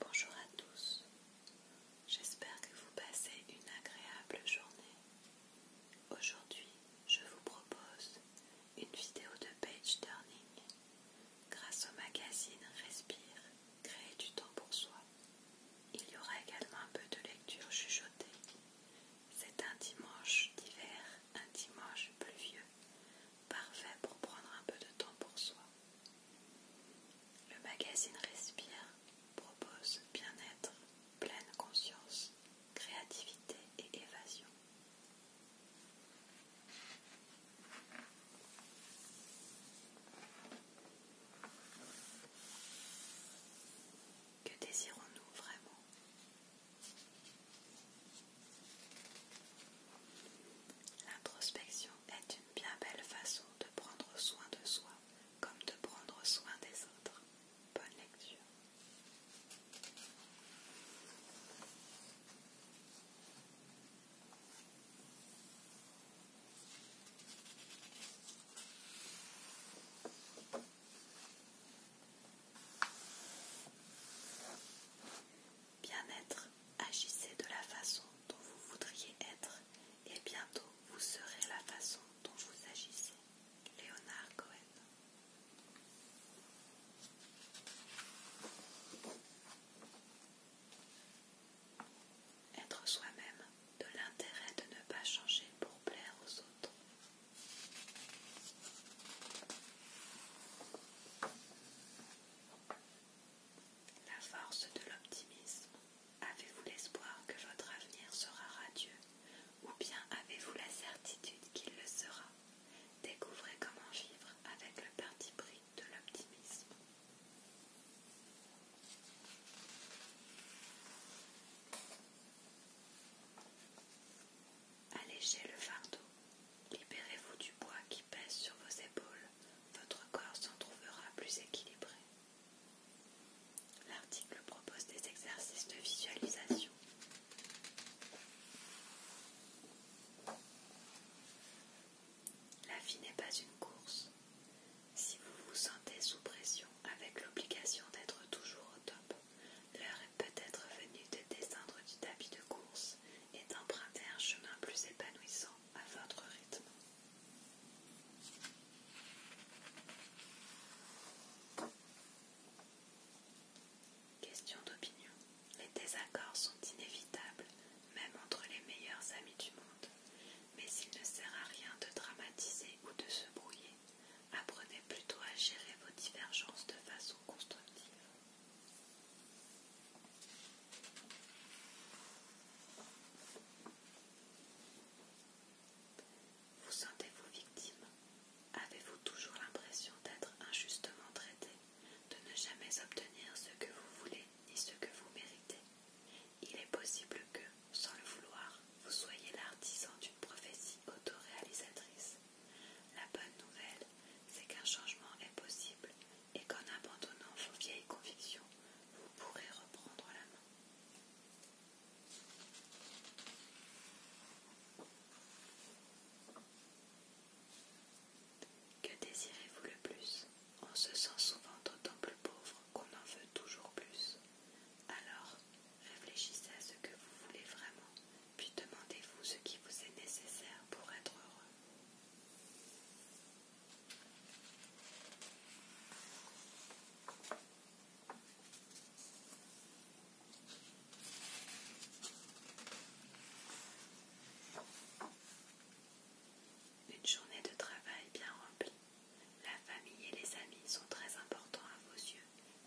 Bonjour à tous, j'espère que vous passez une agréable journée. Aujourd'hui, je vous propose une vidéo de page turning grâce au magazine Respire, créer du temps pour soi. Il y aura également un peu de lecture chuchotée. C'est un dimanche d'hiver, un dimanche pluvieux, parfait pour prendre un peu de temps pour soi. Le magazine Respire propose bien-être, pleine conscience, créativité et évasion. Que désirons-nous vraiment L'introspection est une bien belle façon de prendre soin de soi comme de prendre soin des autres. Bonne lecture bien-être, agissez de la façon dont vous voudriez être et bientôt vous serez la façon dont vous agissez. Léonard Cohen. Être soi-même, de l'intérêt de ne pas changer pour plaire aux autres. La force de l'optimisme. Avez-vous l'espoir que votre avenir sera radieux ou bien avez-vous la certitude qu'il le sera Découvrez comment vivre avec le parti pris de l'optimisme. Allégez le fardeau. Libérez-vous du poids qui pèse sur vos épaules votre corps s'en trouvera plus équilibré. L'article propose des exercices de visualisation. La vie n'est pas une course. Si vous vous sentez sous pression avec l'obligation d'être toujours au top, l'heure est peut-être venue de descendre du tapis de course et d'emprunter un chemin plus épanouissant à votre rythme. Question d'opinion. Les désaccords sont inévitables, même entre les meilleurs amis du monde. Mais il ne sert à rien de dramatiser ou de se brouiller. Apprenez plutôt à gérer vos divergences de façon constructive. Vous sentez-vous victime Avez-vous toujours l'impression d'être injustement traité, de ne jamais obtenir ce que vous voulez ni ce que vous méritez Il est possible que, sans le vouloir, vous soyez l'artisan d'une prophétie autoréalisatrice. La bonne nouvelle, c'est qu'un changement est possible et qu'en abandonnant vos vieilles convictions, vous pourrez reprendre la main. Que désirez-vous le plus On se sent souvent d'autant plus pauvre qu'on en veut toujours plus. Alors, réfléchissez à ce que vous voulez vraiment, puis demandez-vous ce qui vous est nécessaire pour être heureux. Une journée de travail bien remplie. La famille et les amis sont très importants à vos yeux,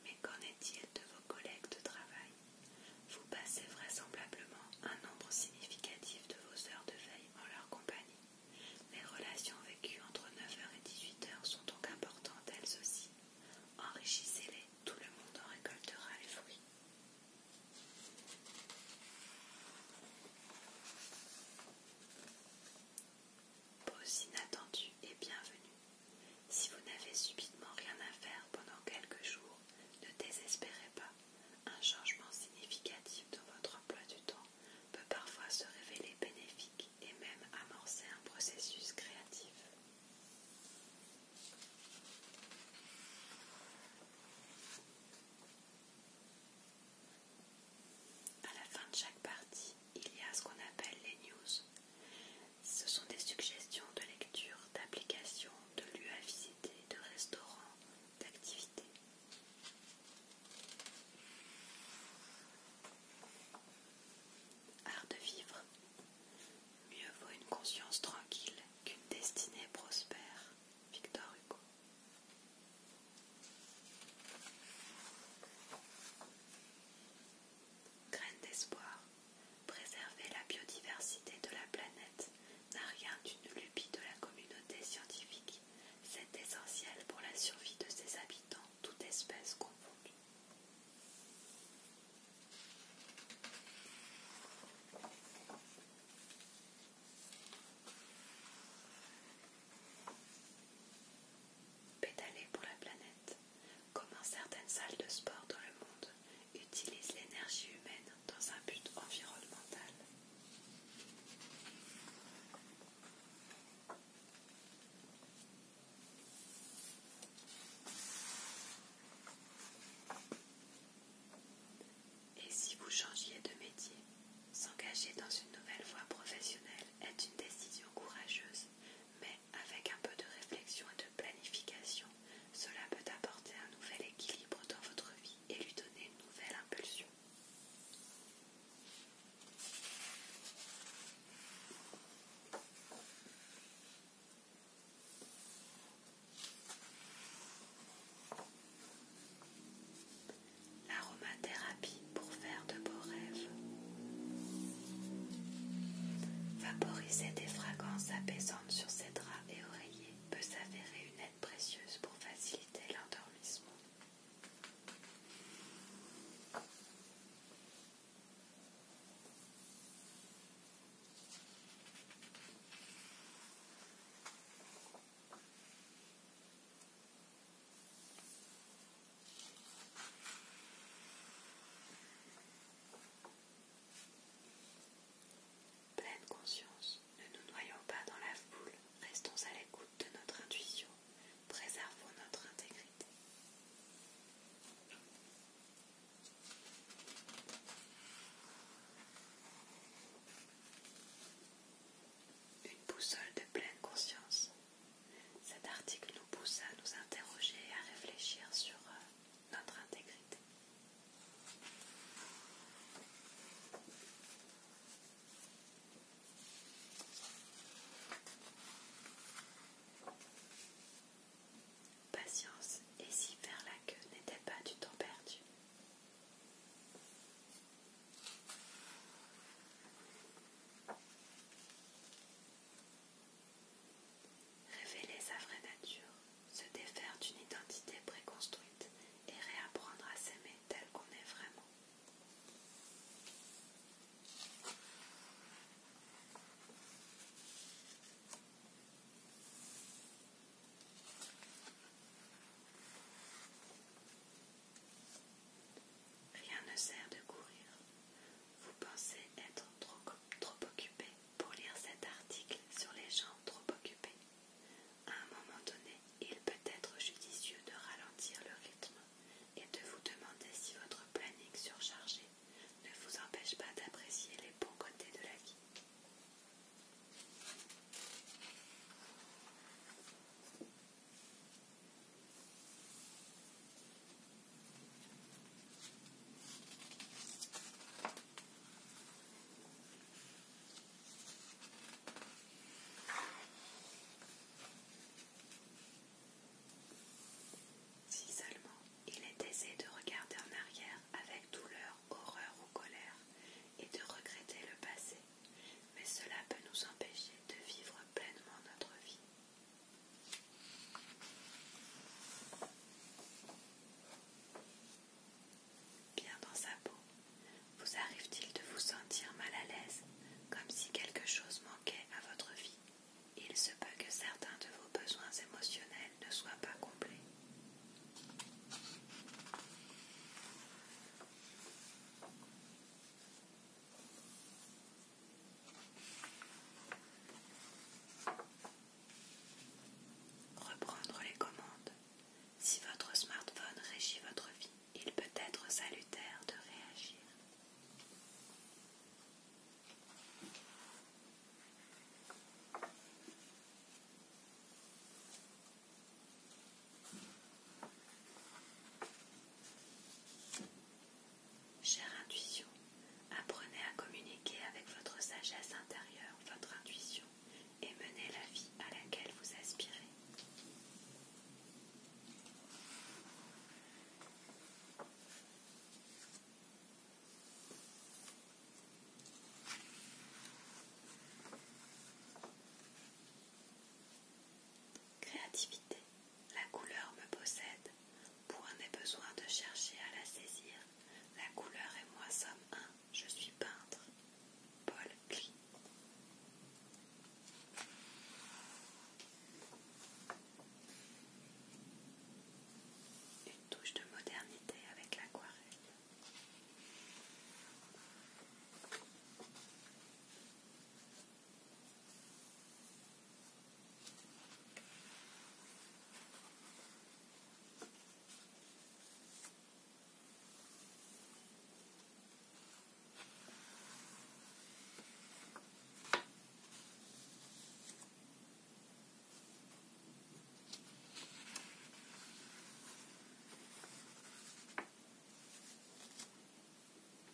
mais qu'en est-il de vos collègues de travail Vous passez vraisemblablement un nombre significatif de vos heures de veille en leur compagnie. Les relations vécues entre 9h et 18h sont donc importantes elles aussi. Enrichissez-les, tout le monde en récoltera les fruits. Pause inattendue et bienvenue. Si vous n'avez subitement rien à faire pendant quelques jours, ne désespérez pas un changement significatif dans votre emploi du temps peut parfois se révéler bénéfique et même amorcer un processus créatif. À la fin de chaque partie, il y a ce qu'on appelle les news. Ce sont des suggestions de lecture, d'applications, de lieux à visiter, de restaurants, d'activités. Art de vivre. Mieux vaut une conscience tranquille qu'une destinée prospère. Victor Hugo. Graine d'espoir. Préserver la biodiversité de la planète n'a rien d'une lubie de la communauté scientifique c'est essentiel pour la survie de ses habitants, toute espèce peut Pédaler pour la planète. Comment certaines salles de sport dans le monde utilisent l'énergie humaine dans un but environnemental. Et si vous changiez de métier, s'engager dans une nouvelle voie professionnelle est une décision courageuse, mais avec un peu de réflexion et de planification, cela peut apporter un nouvel équilibre dans votre vie et lui donner une nouvelle impulsion. L'aromathérapie pour faire de beaux rêves. Vaporiser des fragrances apaisantes sur ses draps et oreillers peut s'avérer une aide précieuse pour faciliter l'endormissement. Pleine conscience ne nous noyons pas dans la foule, restons à l'écoute de notre intuition, préservons notre intégrité. Une boussole de pleine conscience. Cet article nous pousse à nous interroger et à réfléchir sur euh, notre intégrité. Patience, et si faire la queue n'était pas du temps perdu Révéler sa vraie nature, se défaire d'une identité préconstruite et réapprendre à s'aimer tel qu'on est vraiment. Rien ne sert de courir. Vous pensez être trop, occupé pour lire cet article sur les gens trop occupés. À un moment donné, il peut être judicieux de ralentir le rythme et de vous demander si votre planning surchargé ne vous empêche pas d'apprécier les bons côtés de la vie. Si seulement il est aisé de regarder en arrière avec douleur, horreur ou colère et de regretter le passé, mais cela peut nous empêcher de vivre pleinement notre vie. Bien dans sa peau, vous arrive-t-il de vous sentir mal à l'aise, comme si quelque chose manquait à votre vie Il se peut que certains de vos besoins émotionnels ne soient pas complets. Reprendre les commandes. Si votre smartphone régit votre vie, il peut être salutaire de réagir. Chère intuition, apprenez à communiquer avec votre sagesse intérieure, votre intuition, et mener la vie à laquelle vous aspirez. Créativité. La couleur me possède. Point n'est besoin de chercher à la saisir. La couleur et moi sommes un. Je suis peintre. Paul Une touche de modernité avec l'aquarelle.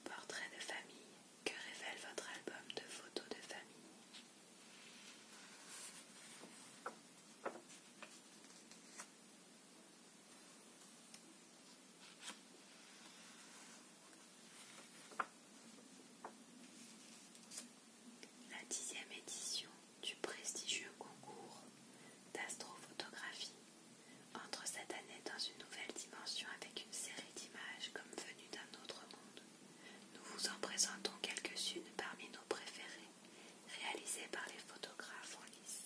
Portrait de famille. Que révèle votre album de photos de famille la dixième édition du prestigieux concours d'astrophotographie entre cette année dans une nouvelle dimension avec une série d'images comme venues d'un autre monde. Nous vous en présentons quelques-unes parmi nos préférées, réalisées par les photographes en lice.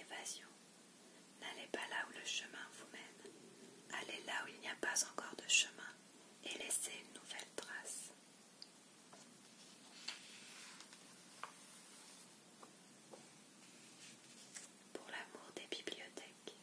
Évasion. N'allez pas là où le chemin vous mène. Allez là où il n'y a pas encore de chemin et laissez une nouvelle trace. Pour l'amour des bibliothèques.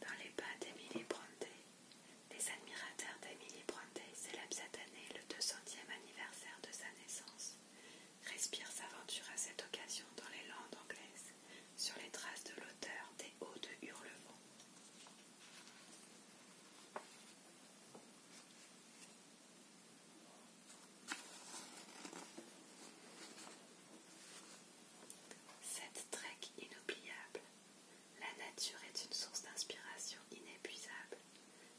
Dans les pas d'Emily Brontë, les admirateurs d'Emily Brontë célèbrent cette année le 200 centième anniversaire de sa naissance. Respire s'aventure à cette occasion dans les Landes anglaises, sur les traces de l'auteur des Hauts de Hurlevent. Cette trek inoubliable la nature est une source d'inspiration inépuisable.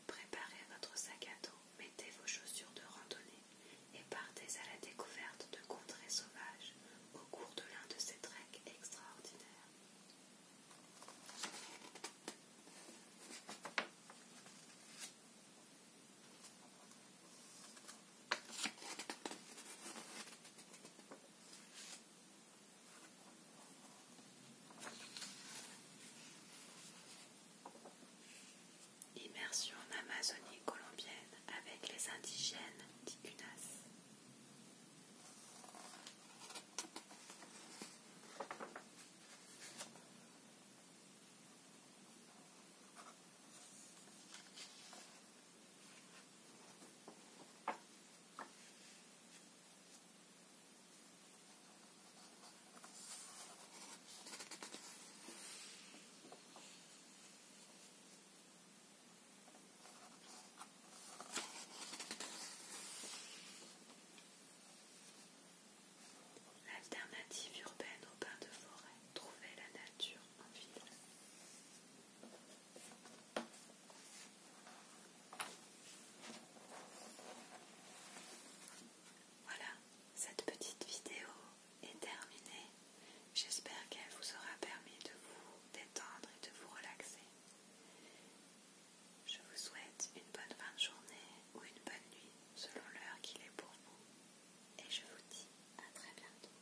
Préparez votre sac à dos, mettez vos chaussures de randonnée et partez à la découverte de contrées sauvages au cours de l'un de ces treks extraordinaires. Immersion en Amazonie colombienne avec les indigènes digunas L'alternative urbaine au bain de forêt, trouver la nature en ville. Voilà, cette petite vidéo est terminée. J'espère qu'elle vous aura permis de vous détendre et de vous relaxer. Je vous souhaite une bonne fin de journée ou une bonne nuit selon l'heure qu'il est pour vous. Et je vous dis à très bientôt.